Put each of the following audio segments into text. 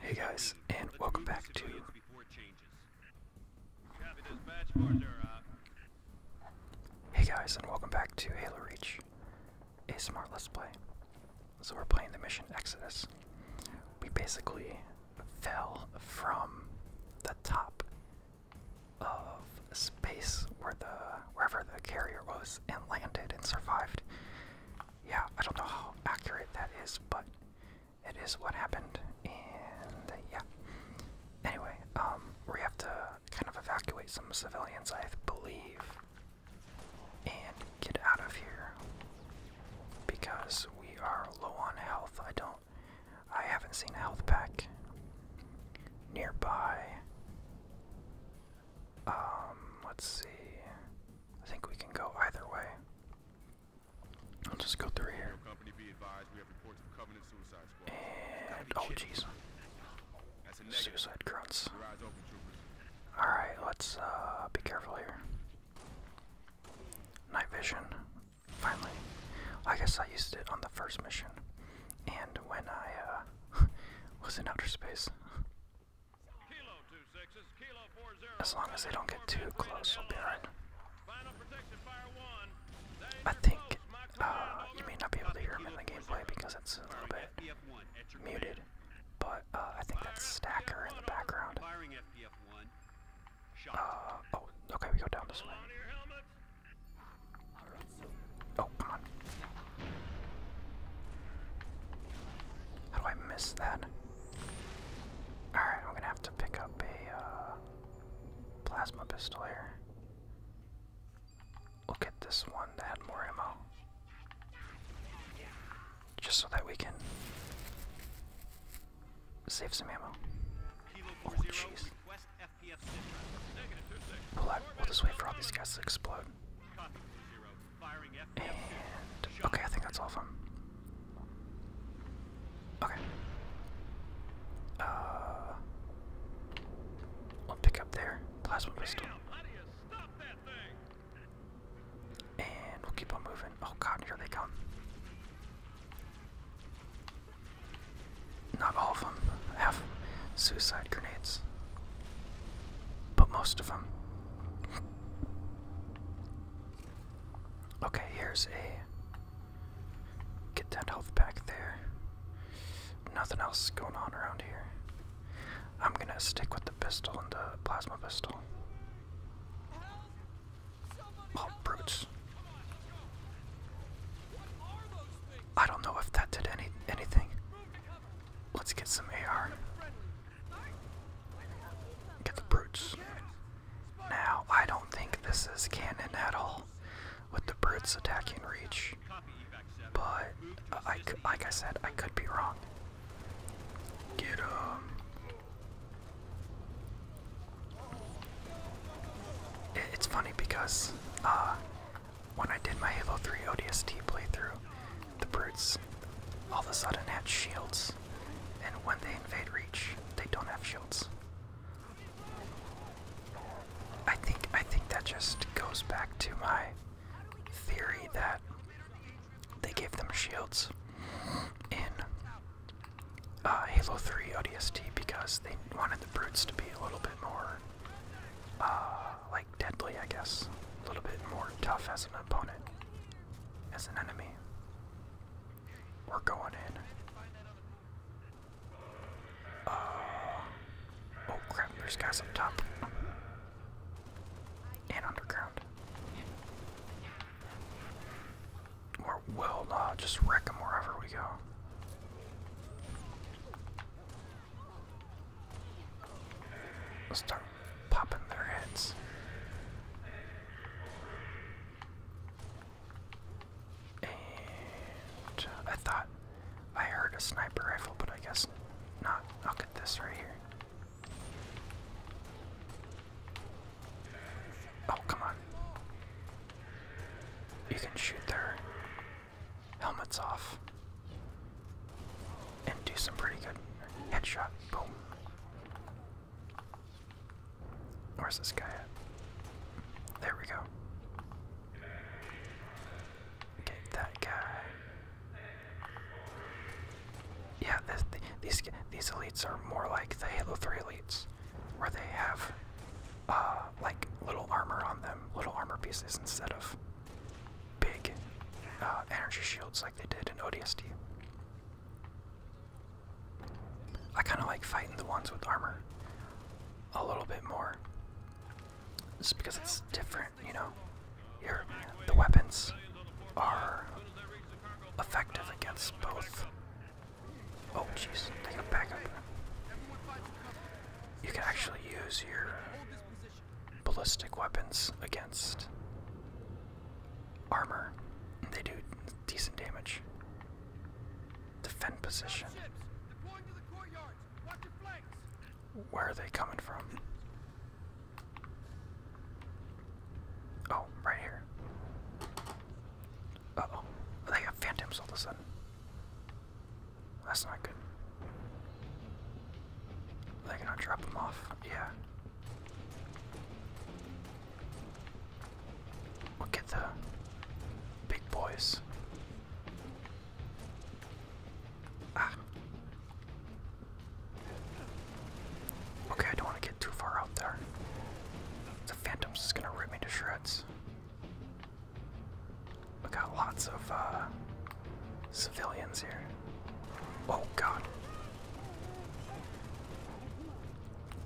Hey guys, and welcome back to uh, Hey guys, and welcome back to Halo Reach, a smart let's play. So we're playing the mission Exodus. We basically fell from the top of space where the wherever the carrier was and landed and survived yeah, I don't know how accurate that is, but it is what happened. And uh, yeah. Anyway, um, we have to kind of evacuate some civilians, I believe, and get out of here because we are low on health. I don't. I haven't seen a health pack nearby. Um, let's see. I think we can go either way. I'll just go through here. And oh jeez. Suicide grunts. Alright, let's uh, be careful here. Night vision. Finally. I guess I used it on the first mission. And when I uh, was in outer space. As long as they don't get too close, we'll be alright. I think uh, you may not be able to hear him in the gameplay because it's a little bit muted, but uh, I think that's Stacker in the background. Uh, oh, okay, we go down this way. Oh, come on. How do I miss that? Alright, I'm gonna have to pick up a uh, plasma pistol here. We'll this one to add more ammo. Just so that we can save some ammo. Oh, jeez. we'll just wait for all these guys to explode. And okay, I think that's all of them. Okay. we'll uh, pick up there. Plasma pistol. And we'll keep on moving. Oh god, here they come. Not all of them have suicide grenades, but most of them. Okay, here's a. Get that health pack there. Nothing else going on around here. I'm gonna stick with the pistol and the plasma pistol. Oh, brutes. I don't know if that did any anything. Let's get some AR. Get the brutes. Now, I don't think this is canon at all with the brutes attacking Reach, but uh, like I said, I could be wrong. Get him. Um, it's funny because uh, when I did my Halo 3 ODST playthrough, the brutes all of a sudden had shields, and when they invade Reach, they don't have shields. I think I think that just goes back to my theory that they gave them shields in uh, Halo 3 ODST because they wanted the brutes to be a little bit more uh, like deadly, I guess, a little bit more tough as an opponent as an enemy. We're going in. Uh, oh crap, there's guys up top. And underground. we'll uh, just wreck them wherever we go. Let's start popping their heads. And uh, I thought I heard a sniper rifle, but I guess not. Look at this right here. Oh, come on. You can shoot their helmets off and do some pretty good headshot. Boom. Where's this guy at? There we go. Get that guy. Yeah, these these elites are more like the Halo 3 elites, where they have uh, like little armor on them, little armor pieces instead of big uh, energy shields like they did in ODST. I kind of like fighting the ones with armor a little bit more. Just because it's different, you know. Your the weapons are effective against both. Oh jeez, take a back up. You can actually use your ballistic weapons against armor. They do decent damage. Defend position. Where are they coming from? Oh, right here. Uh oh. They have phantoms all of a sudden. That's not good. They are gonna drop them off. Yeah. We'll the big boys. Ah. Okay, I don't want to get too far out there. The Phantom's just gonna rip me to shreds. We got lots of uh, civilians here. Oh god.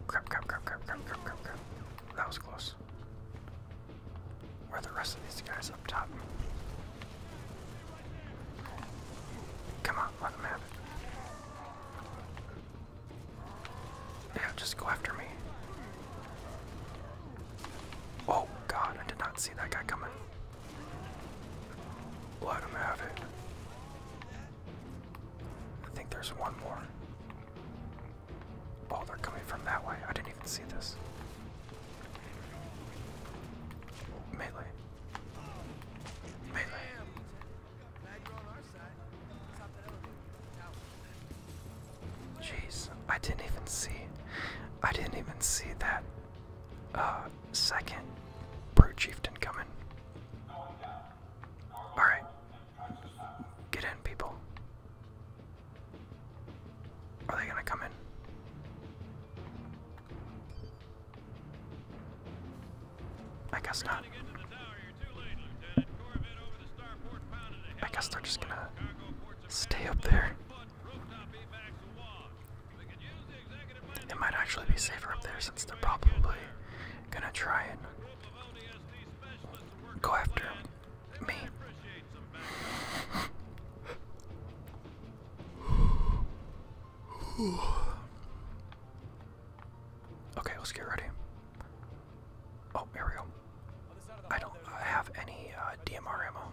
Crap, crap, crap, crap, crap, crap, crap, crap. That was close. Where are the rest of these guys up top? Come on, let them have it. Yeah, just go after me. Oh god, I did not see that guy coming. Let him have it. I think there's one more. Oh, they're coming from that way. I didn't even see this. Melee. Melee. Jeez, I didn't even see. I didn't even see that uh, second brute chieftain coming. Alright. Get in, people. Are they gonna come in? I guess not. I guess they're just gonna stay up there. It might actually be safer up there since they're probably gonna try and go after me. Okay, let's get ready. Oh, here we go. I don't have any uh, DMR ammo.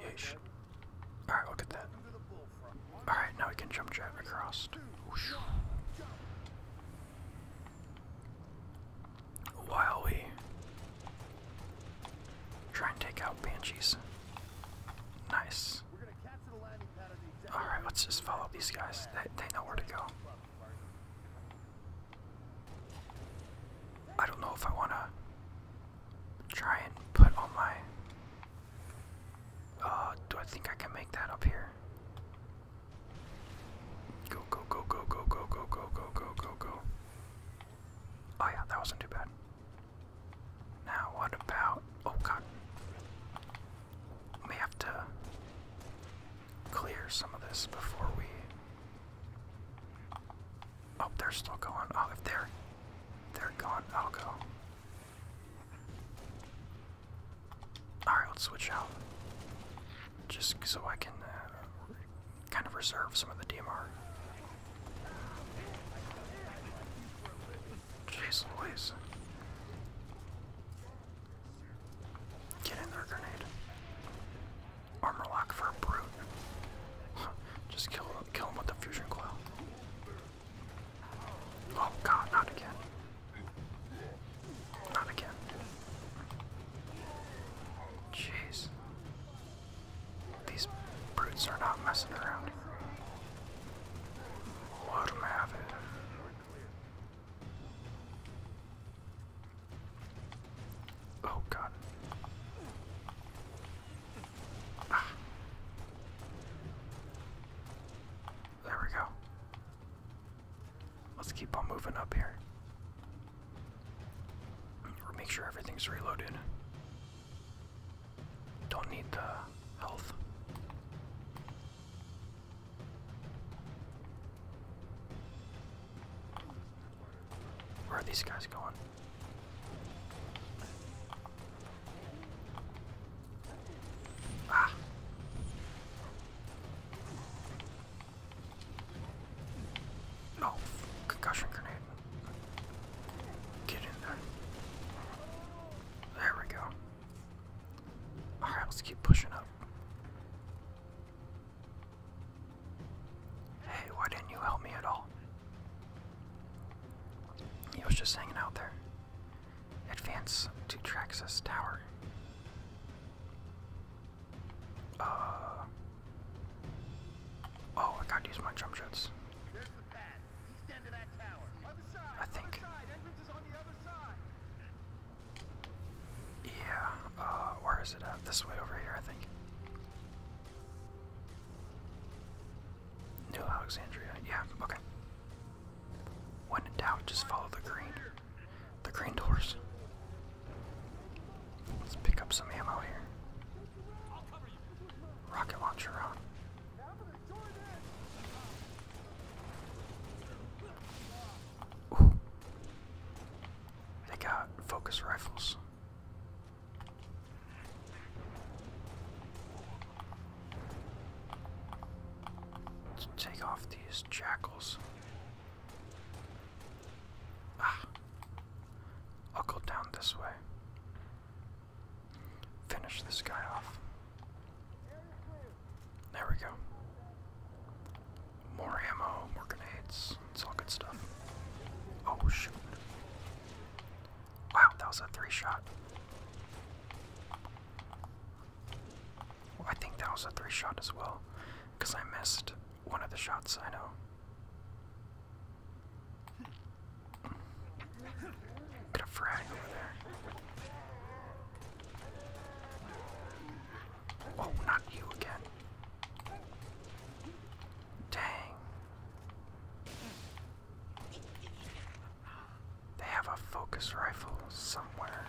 Yeesh. Alright, look at that. Alright, now we can jump jab across. While we try and take out banshees. Nice. Alright, let's just follow these guys. They, they know where to go. I don't know if I want to try and put all my. do I think I can make that up here? Go, go, go, go, go, go, go, go, go, go, go, go. Oh, yeah, that wasn't too bad. Now, what about. Oh, God. May have to clear some of this before we. Oh, they're still going. Oh, if they're gone. I'll go. Alright, let's switch out. Just so I can uh, kind of reserve some of the DMR. Jeez Louise. Get in there, grenade. Armor lock for a brute. Just kill kill him with the fusion coil. Oh god, not again. Not again. Jeez. These brutes are not messing around. Let them have Oh god. There we go. Let's keep on moving up here. Make sure everything's reloaded. Don't need the health. Where are these guys going? Ah. No, concussion grenade. Get in there. There we go. Alright, let's keep pushing up. Hey, why didn't you help me at all? He was just hanging out there. Advance to Traxus Tower. Uh, oh, I gotta use my jump shots. I think. Yeah, uh, where is it This way over here, I think. New Alexandria. Yeah, okay. When in doubt, just follow the green. The green doors. Let's pick up some ammo here. Rocket launcher on. Ooh. They got focus rifles take off these jackals. Ah. I'll go down this way. Finish this guy off. There we go. More ammo, more grenades. It's all good stuff. Oh shoot. Wow, that was a three shot. I think that was a three shot as well, because I missed one of the shots, I know. Got a frag over there. Oh, not you again. Dang. They have a focus rifle somewhere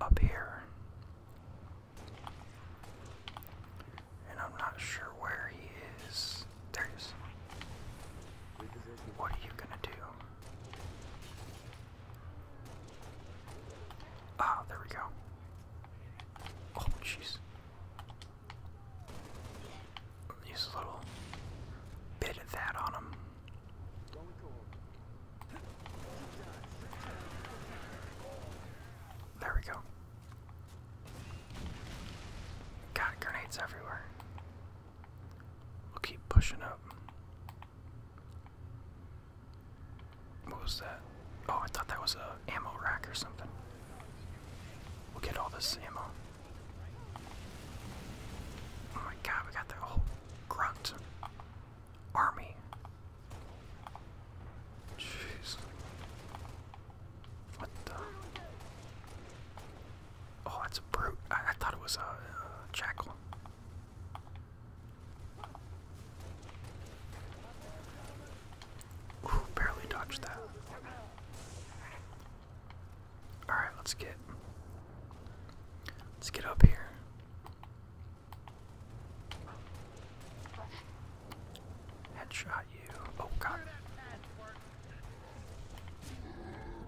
up here. And I'm not sure where he is. There What are you gonna do? Ah, there we go. Oh, jeez. Use a little bit of that on him. There we go. Got grenades everywhere. We'll keep pushing up. What was that? Oh, I thought that was a ammo rack or something. We'll get all this ammo. Oh my god, we got the whole grunt army. Jeez. What the? Oh, that's a brute. I, thought it was a, jackal. barely dodged that. All right, let's get let's get up here. Headshot you. Oh god.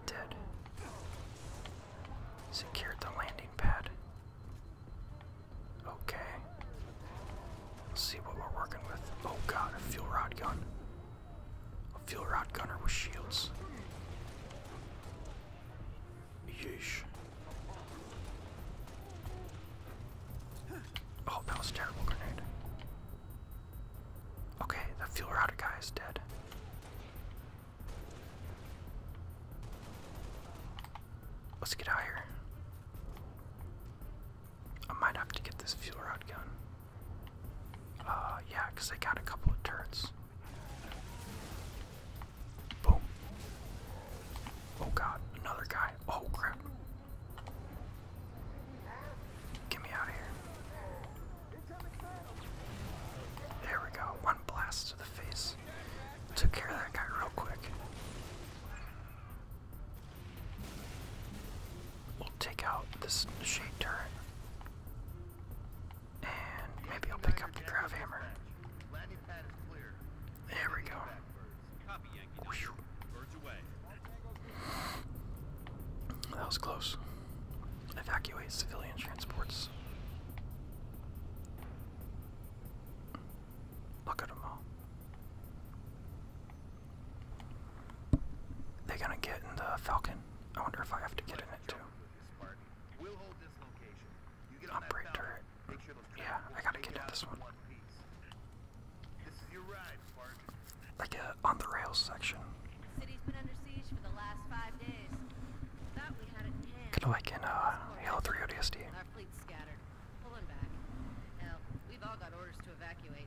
Dead. Secured the landing pad. Okay. see what we're working with. Oh god, a fuel rod gun. A fuel rod gunner with shields. Yeesh. Oh, that was a terrible grenade. Okay, the fuel rod guy is dead. Let's get out here. I might have to get this fuel rod gun. Uh, yeah, because they got a couple of turrets. Boom. Oh god, another guy. Oh crap. Get me out of here. There we go. One blast to the face. Took care of that guy real quick. We'll take out this shade turret. And maybe I'll pick up the grav hammer. There we go. That was close. Evacuate civilian transports. Look at them all. They're gonna get in the Falcon. I wonder if I have to get in it too. Operate turret. Yeah, I gotta get in this one. Like a uh, on the rails section. Kinda like in uh, Halo 3 ODST. Our fleet's scattered, pulling back. Now we've all got orders to evacuate,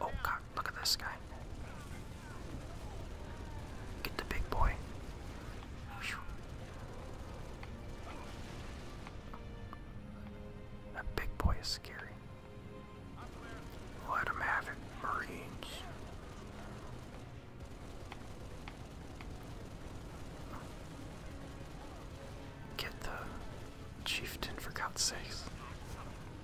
Oh god, look at this guy. Get the big boy. That big boy is scary. Let him have it, Marines. Get the chieftain for God's sakes.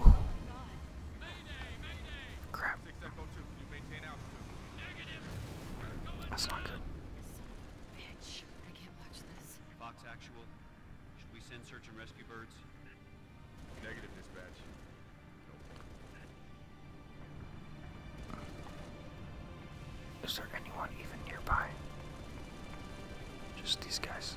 Ooh. Crap. That's not good. Bitch, I can't watch this. Fox Actual, should we send search and rescue birds? Negative dispatch. Is there anyone even nearby? Just these guys.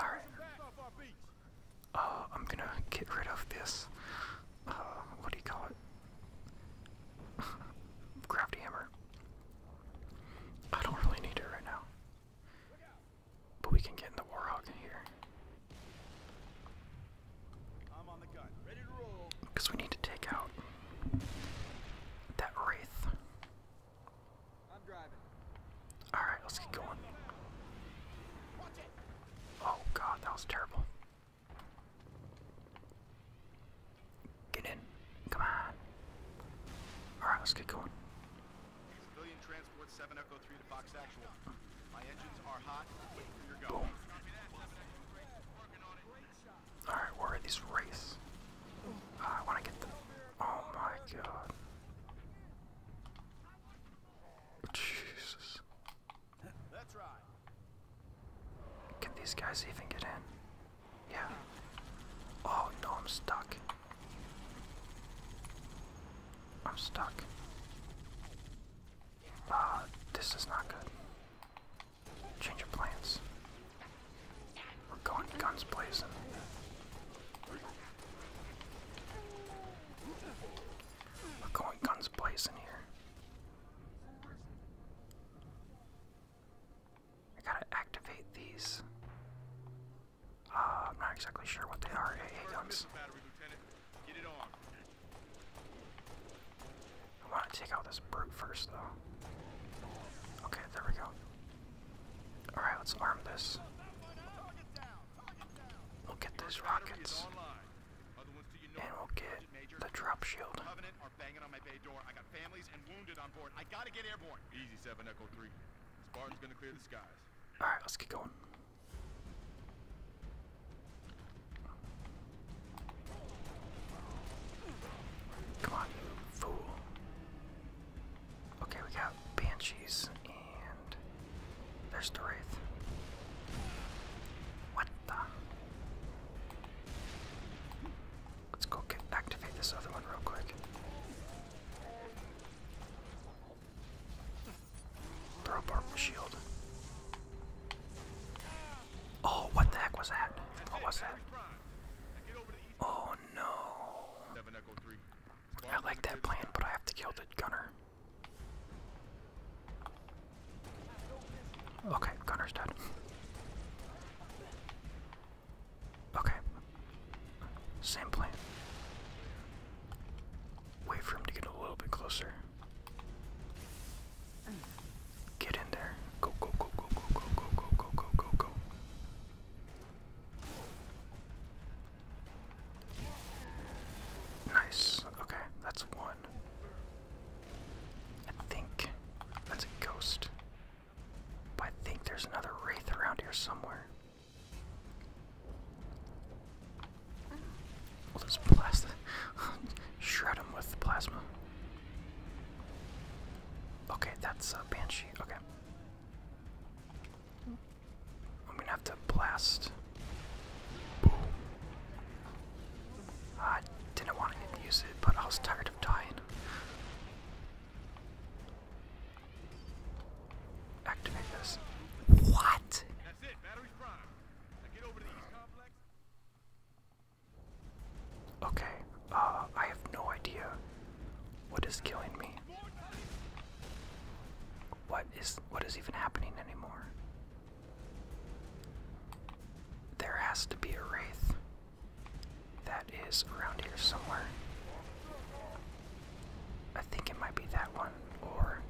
Alright. Uh, I'm gonna get rid of this. Uh, what do you call it? Crafty hammer. I don't really need it right now. But we can get in the warhog here. Because we need to take out that wraith. All right, let's get going. Oh god, that was terrible. Get in. Come on. All right, let's get going. Oh Boom. All right, where are these race? Ah, I want to get them. Oh my god. Jesus. Can these guys even get in? Yeah. Oh no, I'm stuck. I'm stuck. Ah, this is not good. Change your plans. We're going guns blazing. We're going guns blazing here. I gotta activate these. Uh, I'm not exactly sure what they are. AA guns. I want to take out this brute first, though. Okay, there we go. Alright, let's arm this. We'll get these rockets. And we'll get the drop shield. Alright, let's get going. Come on, fool. Okay, we got Banshees and there's the Wraith. What the? Let's go get, activate this other one real quick. Throw apart the shield. Oh, what the heck was that? What was that? Oh no. I like that plan, but I have to kill the gunner. Okay, gunner's dead. Okay. Same plan. Wait for him to get a little bit closer. Get in there. Go, go, go, go, go, go, go, go, go, go, go, go. Nice. Okay, that's one. I think that's a ghost. But I think there's another wraith around here somewhere. We'll just blast shred them with plasma. Okay, that's a banshee. Okay. I'm gonna have to blast. I didn't want to use it, but I was tired of dying. Activate this. What? Okay, uh, I have no idea what is killing me? What is what is even happening anymore? There has to be a wraith that is around here somewhere. I think it might be that one, or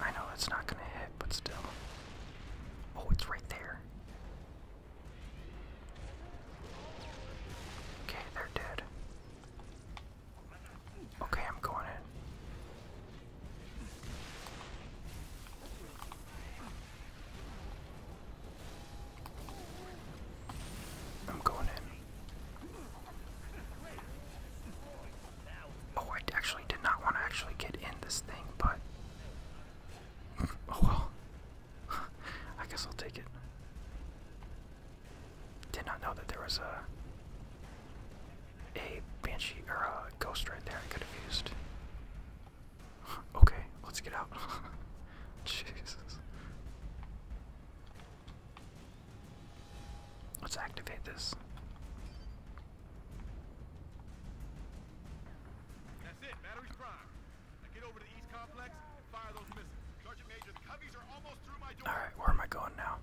I know it's not gonna hit, but still. Oh, it's right there. Okay, they're dead. Okay, I'm going in. I'm going in. Oh, I actually did not want to actually get in this thing, but oh well. I guess I'll take it. Did not know that there was a a banshee or a ghost right there. I could have used. okay, let's get out. Jesus. Let's activate this. That's it. Battery's primed. Now get over to east complex. Alright, where am I going now?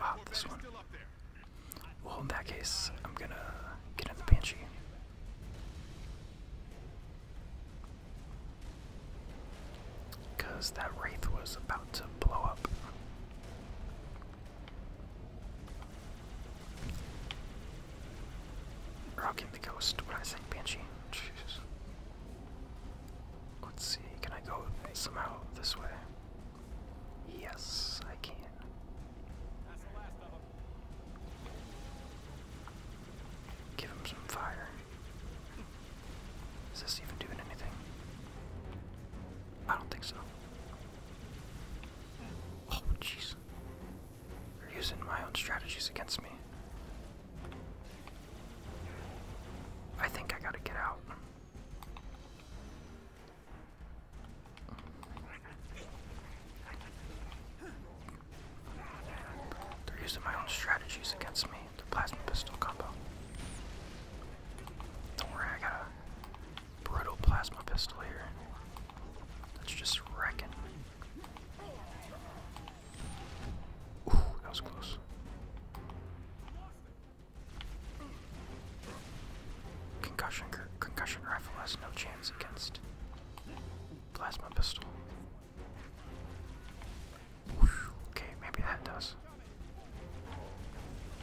Ah, this one. Well, in that case, I'm gonna get in the Banshee. that Wraith was about to blow up. Rocking the Ghost, when I say Banshee. Jeez. Let's see, can I go somehow this way? Yes, I can. Give him some fire. Is this even doing anything? I don't think so. Oh, jeez. They're using my own strategies against me. I think I gotta get out. They're using my own strategies against me, the plasma pistol combo. Don't worry, I got a brutal plasma pistol here. That's just wrecking. Ooh, that was close. Concussion concussion rifle has no chance against plasma pistol. Whew, okay, maybe that does.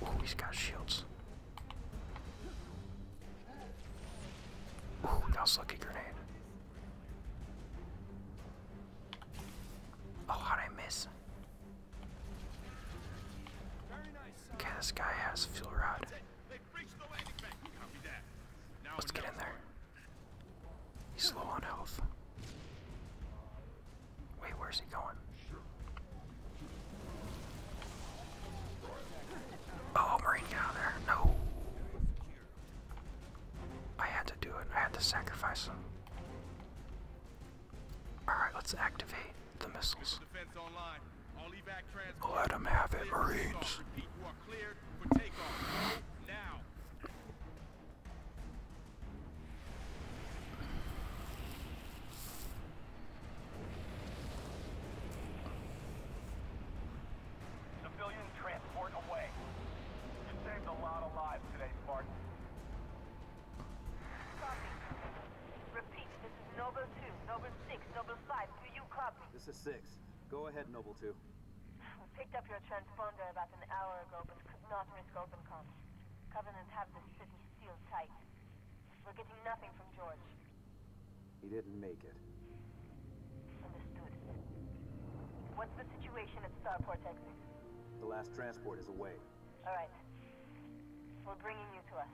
Oh, he's got shields. Ooh, that was lucky grenade. Oh, how'd I miss? Okay, this guy has fuel rod. Let's get in there. He's low on health. Wait, where's he going? Oh, Marine, out there. No. I had to do it. I had to sacrifice them. Alright, let's activate the missiles. Let them have it, Marines. Civilian transport away. You saved a lot of lives today, Spartan. Copy. Repeat, this is Noble 2, Noble 6, Noble 5. Do you copy? This is 6. Go ahead, Noble 2. We picked up your transponder about an hour ago, but could not risk open comms. Covenant have the city sealed tight. We're getting nothing from George. He didn't make it. What's the situation at Starport exit? The last transport is away. All right. We're bringing you to us.